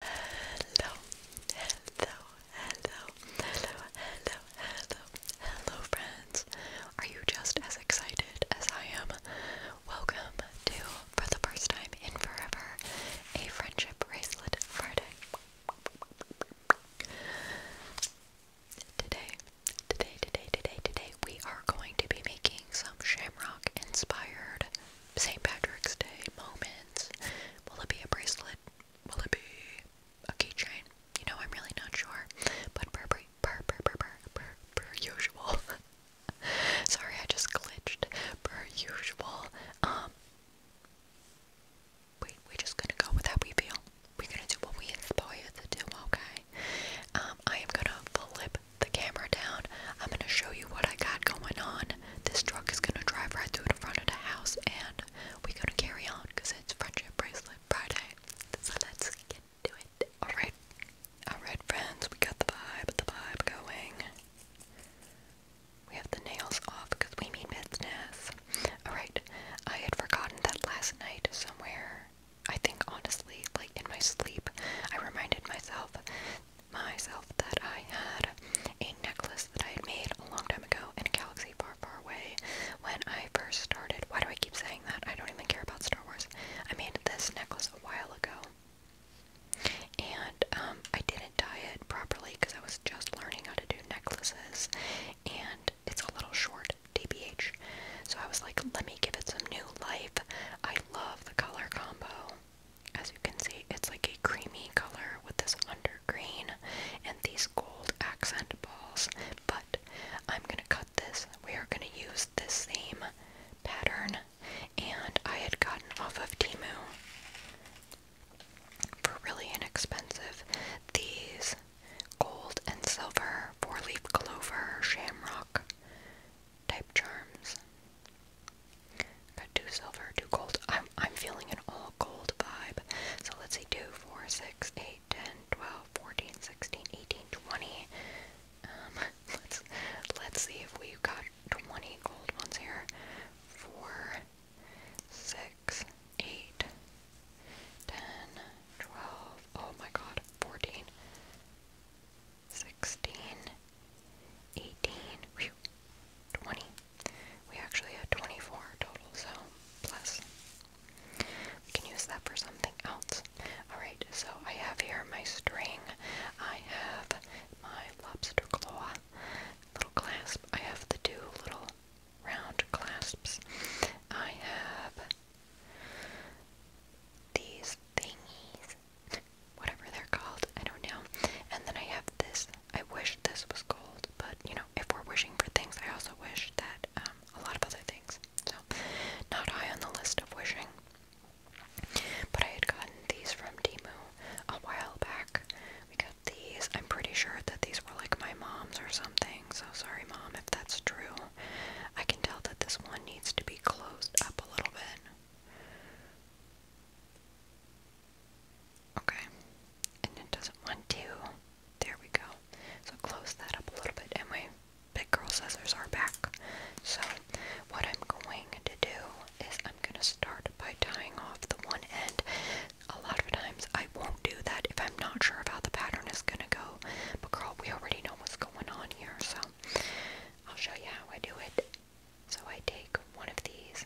Hello, hello, hello, hello, hello, hello, hello, friends. Are you just as excited as I am? Welcome to, for the first time in forever, a Friendship Bracelet Friday. Today, today, today, today, today, we are going to be making some shamrock inspired St. Patrick's Day moments. Will it be a bracelet? Will it be a keychain? You know, I'm really not sure. But per per per per per per, per usual. Sorry, I just glitched. Per usual. Um. We we just gonna go with how we feel. We're gonna do what we inspire to do. Okay. Um. I am gonna flip the camera down. I'm gonna show you what I got going on this truck is gonna drive right through in front of the house and we're gonna carry on because it's friendship bracelet Friday. So let's get to it. Alright. Alright friends, we got the vibe, the vibe going. We have the nails off because we mean business. Alright, I had forgotten that last night somewhere. I think honestly, like in my sleep, I reminded myself myself that I had a necklace that I had made a long time ago in a galaxy far, far away when I first started. Why do I keep saying that? I don't even care about Star Wars. I made this necklace a while ago. And um, I didn't dye it properly because I was just learning how to do necklaces. And it's a little short, DBH. So I was like, let me give it some new life. I love the color combo. As you can see, it's like a creamy color with this under green and these gold accent balls. But I'm gonna cut this. We are gonna use this same pattern, and I had gotten off of Timu for really inexpensive these gold and silver four-leaf clover shamrock type charms. Got two silver, two gold. I'm I'm feeling an all gold vibe. So let's see 2, 4, 6, 8, 10, 12, 14, 16, 18, 20. Um, let's let's see if we got 20 gold ones here. 4 6 8 10 12 Oh my god, 14 16 18, We actually have 24 total, so plus. We can use that for something else. Alright, so I have here my string. I have my lobster claw, little clasp. I have the two little round clasps. I have these thingies whatever they're called, I don't know. And then I have this. I wish this was gold, but you know, if we're wishing for things, I also wish that um, a lot of other things. So, not high on the list of wishing. But I had gotten these from Timu a while back. We got these. I'm pretty sure that these were like my mom's or something. So sorry, mom, if that's true. I can tell that this one needs to be closed up a little bit. Okay. And it doesn't want to. There we go. So close that up a little bit. And my big girl scissors are back. So what I'm going to do is I'm going to start by tying off the one end. A lot of times I won't do that if I'm not sure of how the pattern is going to go. But girl, we already know what's going on here. So I'll show you how I do it. So I take one of these.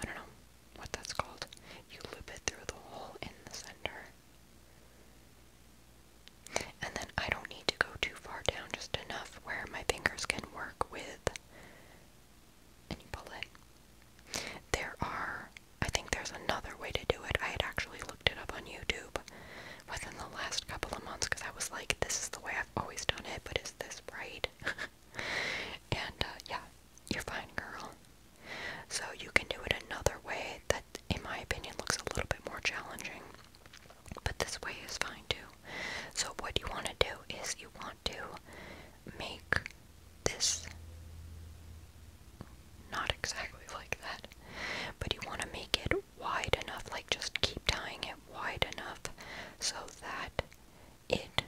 I don't know what that's called. You loop it through the hole in the center. And then I don't need to go too far down, just enough where my fingers can work with. And you pull it. There are, I think there's another way to do it. I had actually looked it up on YouTube within the last couple of months because I was like, this is the way I've always done it, but is this right? and uh, yeah, you're fine, girl. So you can do it another way that, in my opinion, looks a little bit more challenging. But this way is fine too. So, what you want to do is you want to make this not exactly like that, but you want to make it wide enough, like just keep tying it wide enough so that it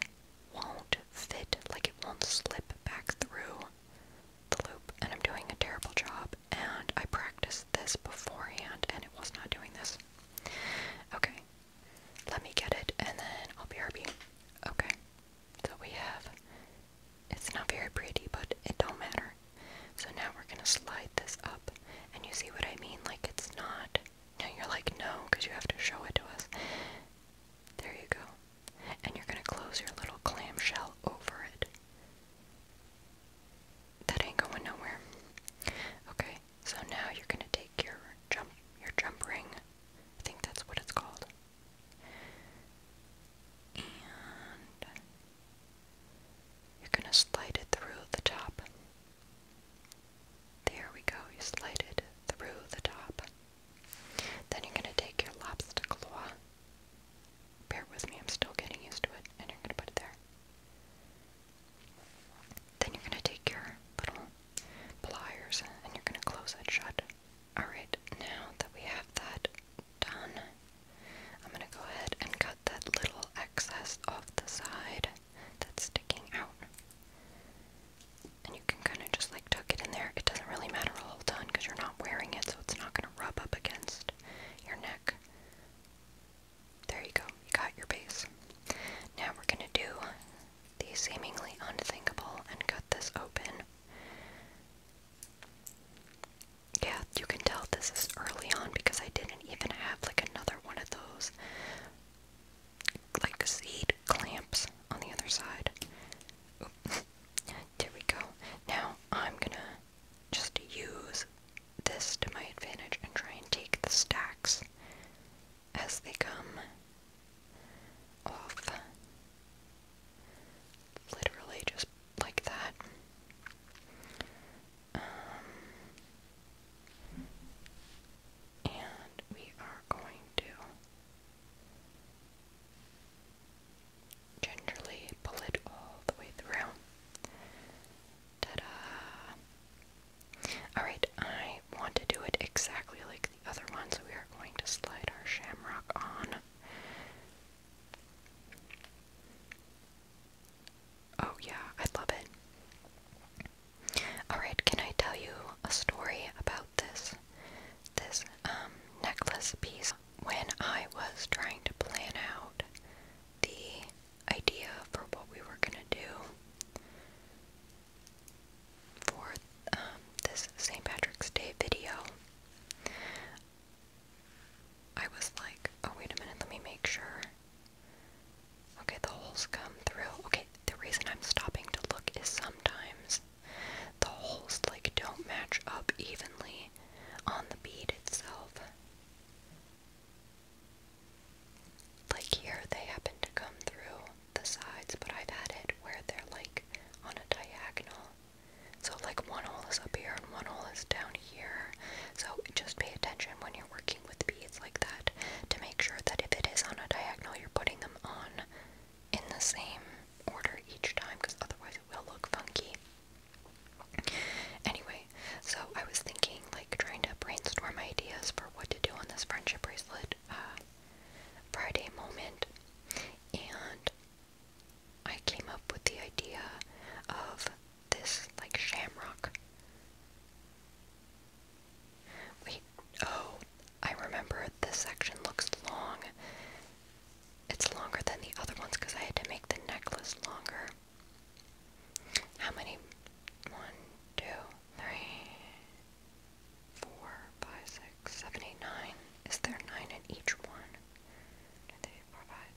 won't fit, like it won't slip back through the loop. And I'm doing a terrible job, and I practiced this beforehand and it was not doing this. Okay, let me get it and then I'll be RB. Okay, so we have, it's not very pretty, but it don't matter. So now we're gonna slide this up, and you see what I mean? Like it's not. Now you're like, no, because you have to show it to us. There you go. And you're gonna close your little clamshell over it. That ain't going nowhere. Okay, so now you're gonna take your jump your jump ring. I think that's what it's called. And you're going to slide it through the top. There we go, you slide it through the top. Then you're going to take your lobster claw. Bear with me, I'm still getting used to it, and you're going to put it there. Then you're going to take your little pliers and you're going to close that shut. Alright, now that we have that done, I'm going to go ahead and cut that little excess off the side that's sticking out. And you can kind of just like tuck it in there. It doesn't really matter a whole ton because you're not wearing it, so it's not going to rub up against your neck. There you go, you got your base. Now we're going to do the seemingly unthinkable and cut this open. Yeah, you can tell this is early on because I didn't even have like another one of those like seed clamps on the other side. there we go. Now I'm gonna just use this to my advantage and try and take the stacks as they come off. Literally just like that and we are going to gingerly pull it all the way through. Ta-da! Alright, I want to do it exactly like the other one, so we are going to slide our shamrock on. Oh, yeah, I love it. Alright, can I tell you a story about this? This um, necklace piece. When I was trying to plan out the idea for what we were gonna do for um, this St. Patrick's Day video, I was like, oh, wait a minute, let me make sure. Okay, the holes come through. Okay, the reason I'm stopping to look is sometimes the holes, like, don't match up evenly on the bead itself. Like here, they happen to come through the sides, but I've had it where they're, like, on a diagonal. So, like, one hole is up here and one hole is down here. So, just pay attention when you're working with beads like that to make sure that if it is on a diagonal, you're putting them on in the same order each time because otherwise it will look funky. Anyway, so I was thinking, like, trying to brainstorm ideas for what to do on this friendship bracelet uh, Friday moment, and I came up with the idea of this like shamrock. Wait, oh, I remember this section looks long. It's longer than the other ones because I had to make the necklace longer. How many? One, two, three, four, five, six, seven, eight, nine. Is there nine in each one? Two, three, four, five,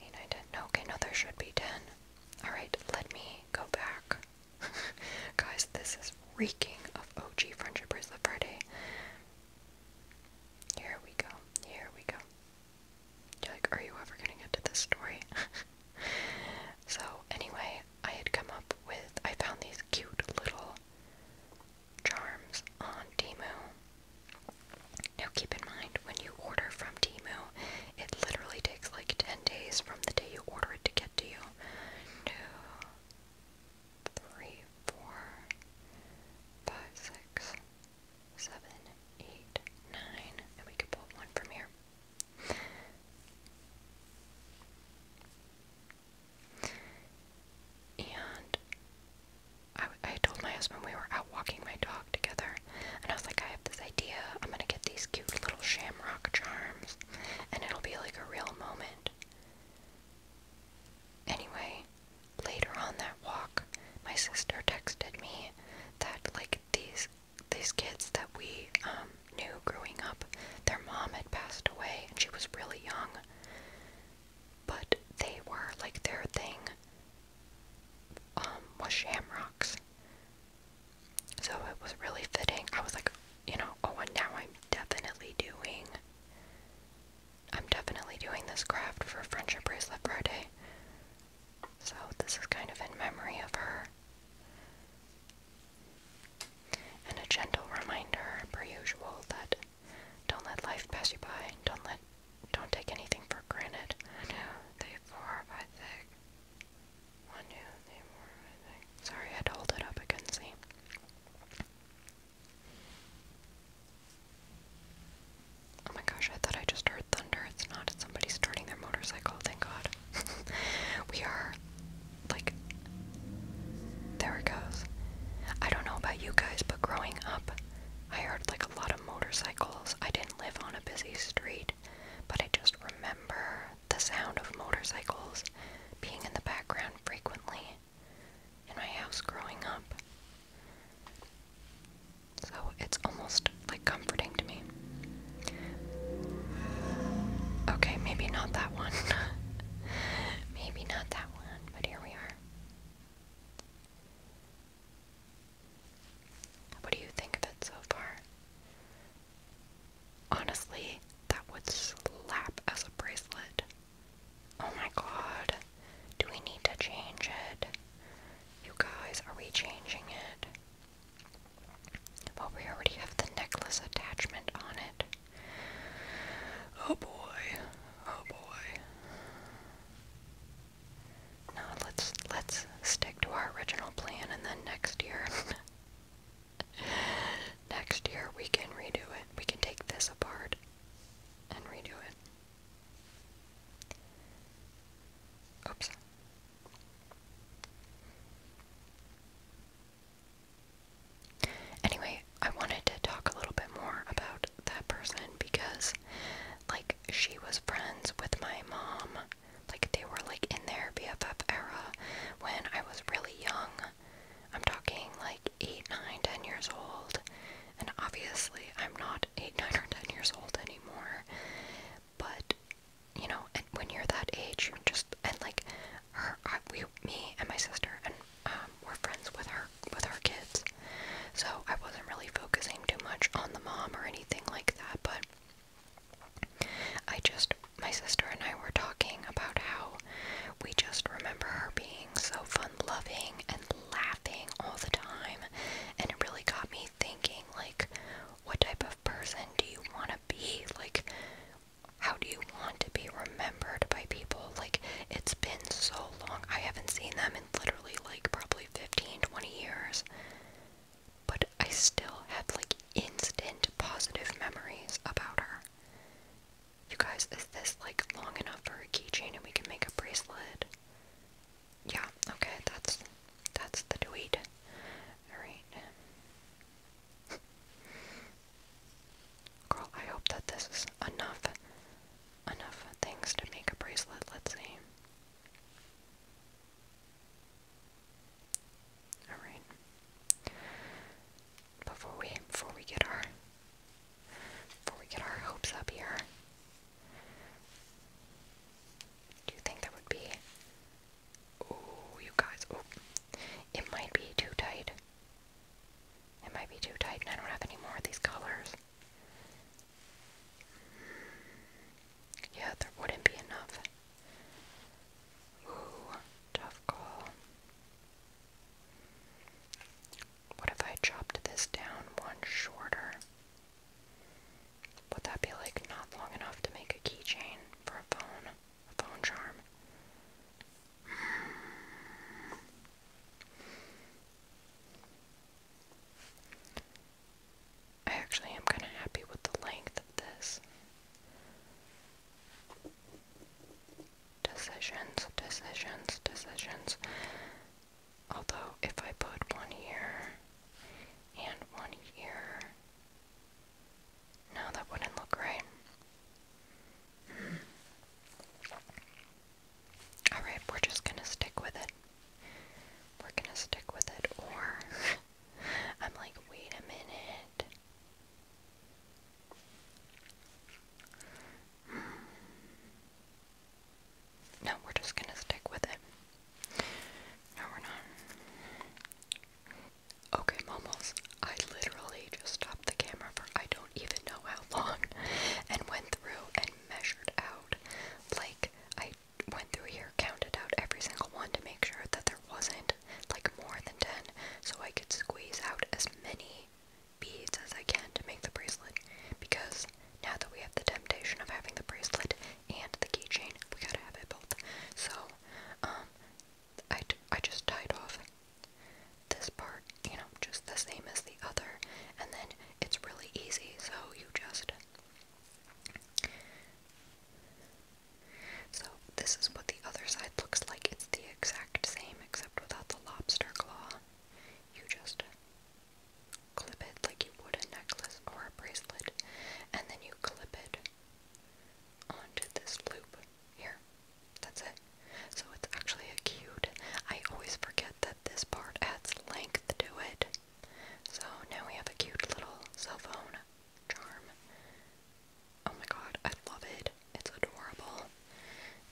8, 9, okay, no, there should be 10. Alright, let me go back. Guys, this is reeking of OG Friendship Bracelet Friday. Here we go. Here we go. You're like, are you ever gonna get to this story? so, anyway, I had come up with, I found these cute little charms on Demu. Now keep in mind, when you order from Timu, it literally takes like 10 days from the day you order it to get to you. Two, three, four, five, six, seven, eight, nine, and we can pull one from here. And I, I told my husband we were walking my dog together, and I was like, I have this idea. I'm gonna get these cute little shamrock charms, and it'll be like a real moment. Anyway, later on that walk, my sister texted me that like these these kids that we um, knew growing up, their mom had passed away, and she was really young. But they were like their thing um, was shamrocks. So it was really fitting. I was like, you know, oh, and now I'm definitely doing, I'm definitely doing this craft for Friendship Bracelet Friday. So this is kind of in memory of her. And a gentle reminder, per usual, that don't let life pass you by. Don't let don't take anything for granted. I know four by thick. One two three four Sorry, I had it up. I could Oh my gosh! I thought I just heard thunder. It's not. somebody starting their motorcycle. Thank God. we are like. There it goes. I don't know about you guys, but growing up, I heard like a lot of motorcycles. I didn't live on a busy street, but I just remember the sound of motorcycles being in the background frequently in my house growing up. So it's almost like comforting to me. Okay, maybe not that one. maybe not that one, but here we are. What do you think of it so far? Honestly, that would slap as a bracelet. Oh my god. Do we need to change it? You guys, are we changing it? Well, we already have the necklace attachment on it. Oh boy. Oh boy. No, let's let's stick to our original plan and then next year next year we can redo it. We can take this apart and redo it. Oops. Anyway, I wanted to talk a little bit more about that person because like, she was friends with my mom. Like, they were, like, in their BFF era when I was really young. I'm talking, like, 8, nine, ten years old. And obviously, I'm not 8, 9, or 10 years old anymore. But, you know, and when you're that age, you just, and, like, her, we, me and my sister, and, um, we're friends with her, with our kids. So I wasn't really focusing too much on the mom or anything like that, but I just, my sister and I were talking about how we just remember her being so fun loving and laughing all the time, and it really got me thinking, like, what type of person do you want to be? Like, how do you want to be remembered by people? Like, it's been so long. I haven't seen them in literally like probably 15, 20 years. But I still have like instant positive memories about her. You guys, is this like long enough for a keychain and we can make a bracelet? Yeah, okay, that's that's the tweet. Alright. Girl, I hope that this is enough enough things to make a bracelet, let's see. Alright. Before we before we get our before we get our hopes up here. Do you think that would be Oh you guys oh it might be too tight. It might be too tight and I don't have any more of these colors. Yeah, there wouldn't be enough. Ooh, tough call. What if I chopped this down one shorter? Would that be like not long enough to make a keychain for a phone? A phone charm? I actually am kind of happy with the length of this. Decisions, decisions, decisions. Although, if I put one here and one here, no, that wouldn't look right. Alright, we're just gonna stick with it. We're gonna stick with it, or I'm like, wait a minute. No, we're just gonna stick with it. No, we're not. Okay, momos, I literally just stopped the camera for I don't even know how long and went through and measured out like, I went through here, counted out every single one to make sure that there wasn't, like, more than 10, so I could squeeze out as many beads as I can to make the bracelet. Because now that we have the temptation of having the bracelet and the keychain, we gotta have it both. So, um, I, I just tied off this part, you know, just the same as the other, and then it's really easy, so you just. So, this is what the other side looks like. It's the exact same, except without the lobster claw. You just clip it like you would a necklace or a bracelet, and then you clip it onto this loop. Here, that's it. So, it's actually a cute. I always forget that this part adds length to it. So now we have a cute little cell phone charm. Oh my god, I love it. It's adorable.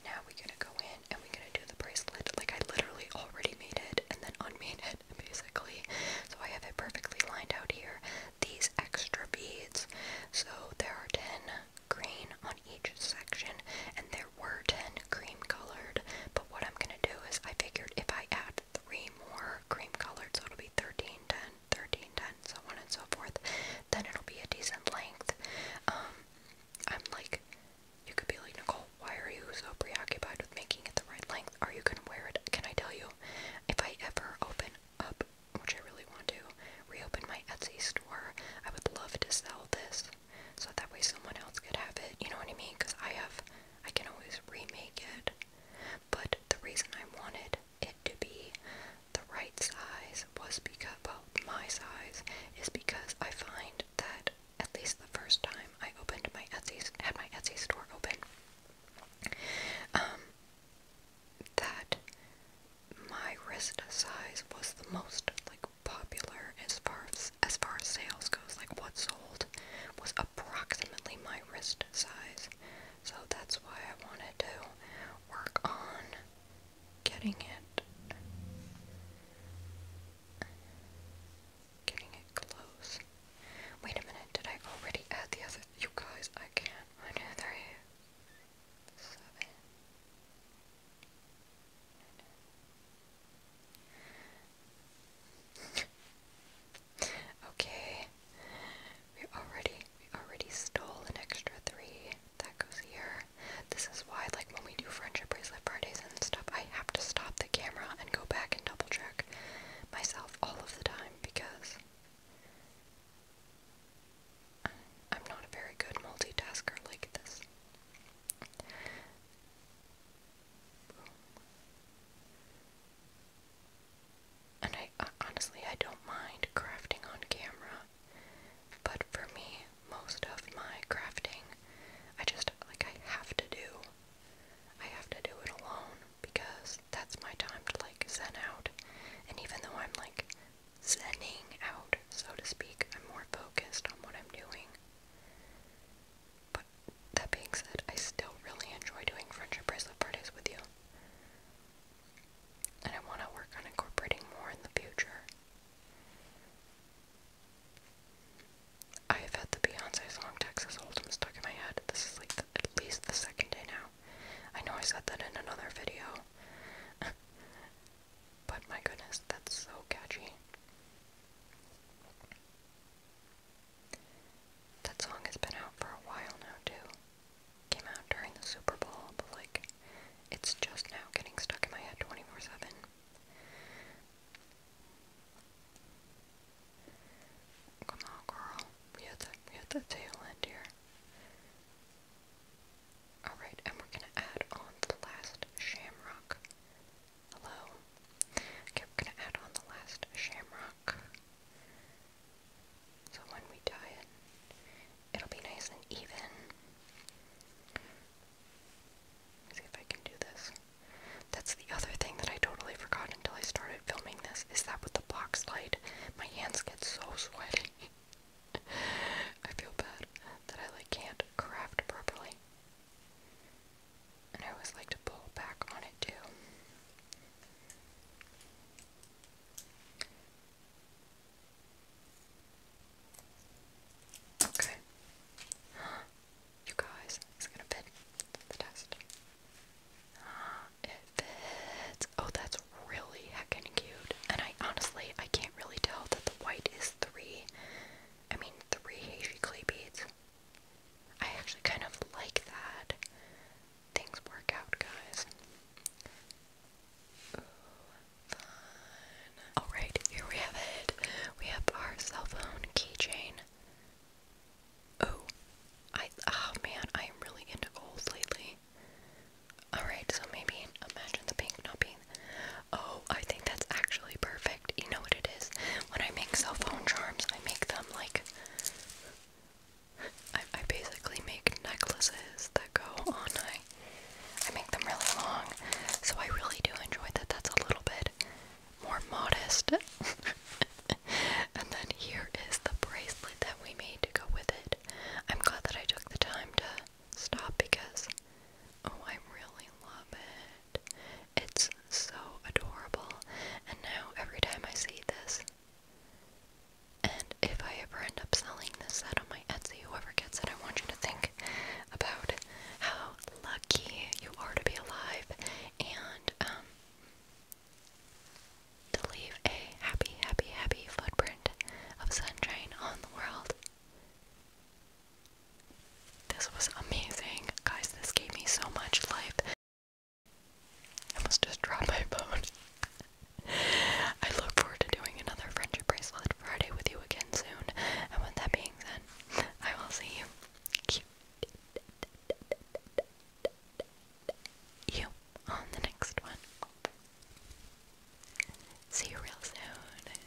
Now we're gonna go in and we're gonna do the bracelet. Like I literally already made it and then unmade it basically. So I have it perfectly lined out here. These extra beads. So there are 10 green on each section and they're were 10 cream colored, but what I'm gonna do is I figured if I add three more cream colored, so it'll be 13, 10, 13, 10, so on and so forth, then it'll be a decent length. Um, I'm like, you could be like, Nicole, why are you so preoccupied with making it the right length? Are you gonna wear it? Can I tell you, if I ever open up, which I really want to, reopen my Etsy store, I would love to sell this so that way someone else could have it, you know what I mean? Because I have, I can always remake it. But the reason I wanted it to be the right size was because, well, my size is because I find that at least the first time I opened my Etsy, had my Etsy store open, um, that my wrist size was the most, like, popular as far as far sales goes, like what sold was approximately my wrist size. So that's why I wanted to work on getting it getting it close. Wait a minute, did I already add the other you guys I can't I know there is seven okay. We already we already stole an extra three. That goes here. This is why like when we do friendship bracelet Fridays and stuff, I have to stop the camera and go back and double check myself all of the time because I'm not a very good multitasker like this. And I uh, honestly, I don't mind crafting on camera, but for me, most of my crafting, I just like I have to do. I have to do it alone because that's my time to like zen out. And even though I'm like zenning out, so to speak, I'm more focused on what I'm doing. But that being said, I still really enjoy doing friendship bracelet parties with you. And I want to work on incorporating more in the future. I have had the Beyonce song Texas Hold'em stuck in my head. This is like at least the second day now. I know I said that in another video. but my goodness, that's so catchy. That song has been out for a while now, too. Came out during the Super Bowl, but like, it's just now getting stuck in my head 24 7. Come on, girl. We had the, we had the tail end here. Alright, and we're gonna add on the last shamrock. Hello. Okay, we're gonna add on the last shamrock. So when we dye it, it'll be nice and even. see if I can do this. That's the other thing that I totally forgot until I started filming this, is that with the box light, my hands get so sweaty. I feel bad that I like can't craft properly. And I always like to pull back on it too. Okay. You guys, it's gonna fit the test. It fits. Oh, that's really heckin' cute. And I honestly, I can't really tell that the white is three I mean, three hazy clay beads. I actually kind of like that. Things work out, guys. Alright, here we have it. We have our cell phone keychain. Oh, I, oh man, I am really into gold lately. Alright, so maybe imagine the pink not being Oh, I think that's actually perfect. You know what it is? When I make cell phone charms, I make them like. I, basically make necklaces that go on. I, I make them really long. So I really do enjoy that that's a little bit more modest. and then here is the bracelet that we made to go with it. I'm glad that I took the time to stop because. Oh, I really love it. It's so adorable, and now every time I see this, and if I ever end up selling this set on my Etsy, whoever gets it, I want you to think about how lucky you are to be alive and um, to leave a happy, happy, happy footprint of sunshine on the world. This was amazing. Guys, this gave me so much life. I almost just dropped my phone. I look forward to doing another Friendship Bracelet Friday with you again soon. And with that being said, I will see you. You on the next one. See you real soon.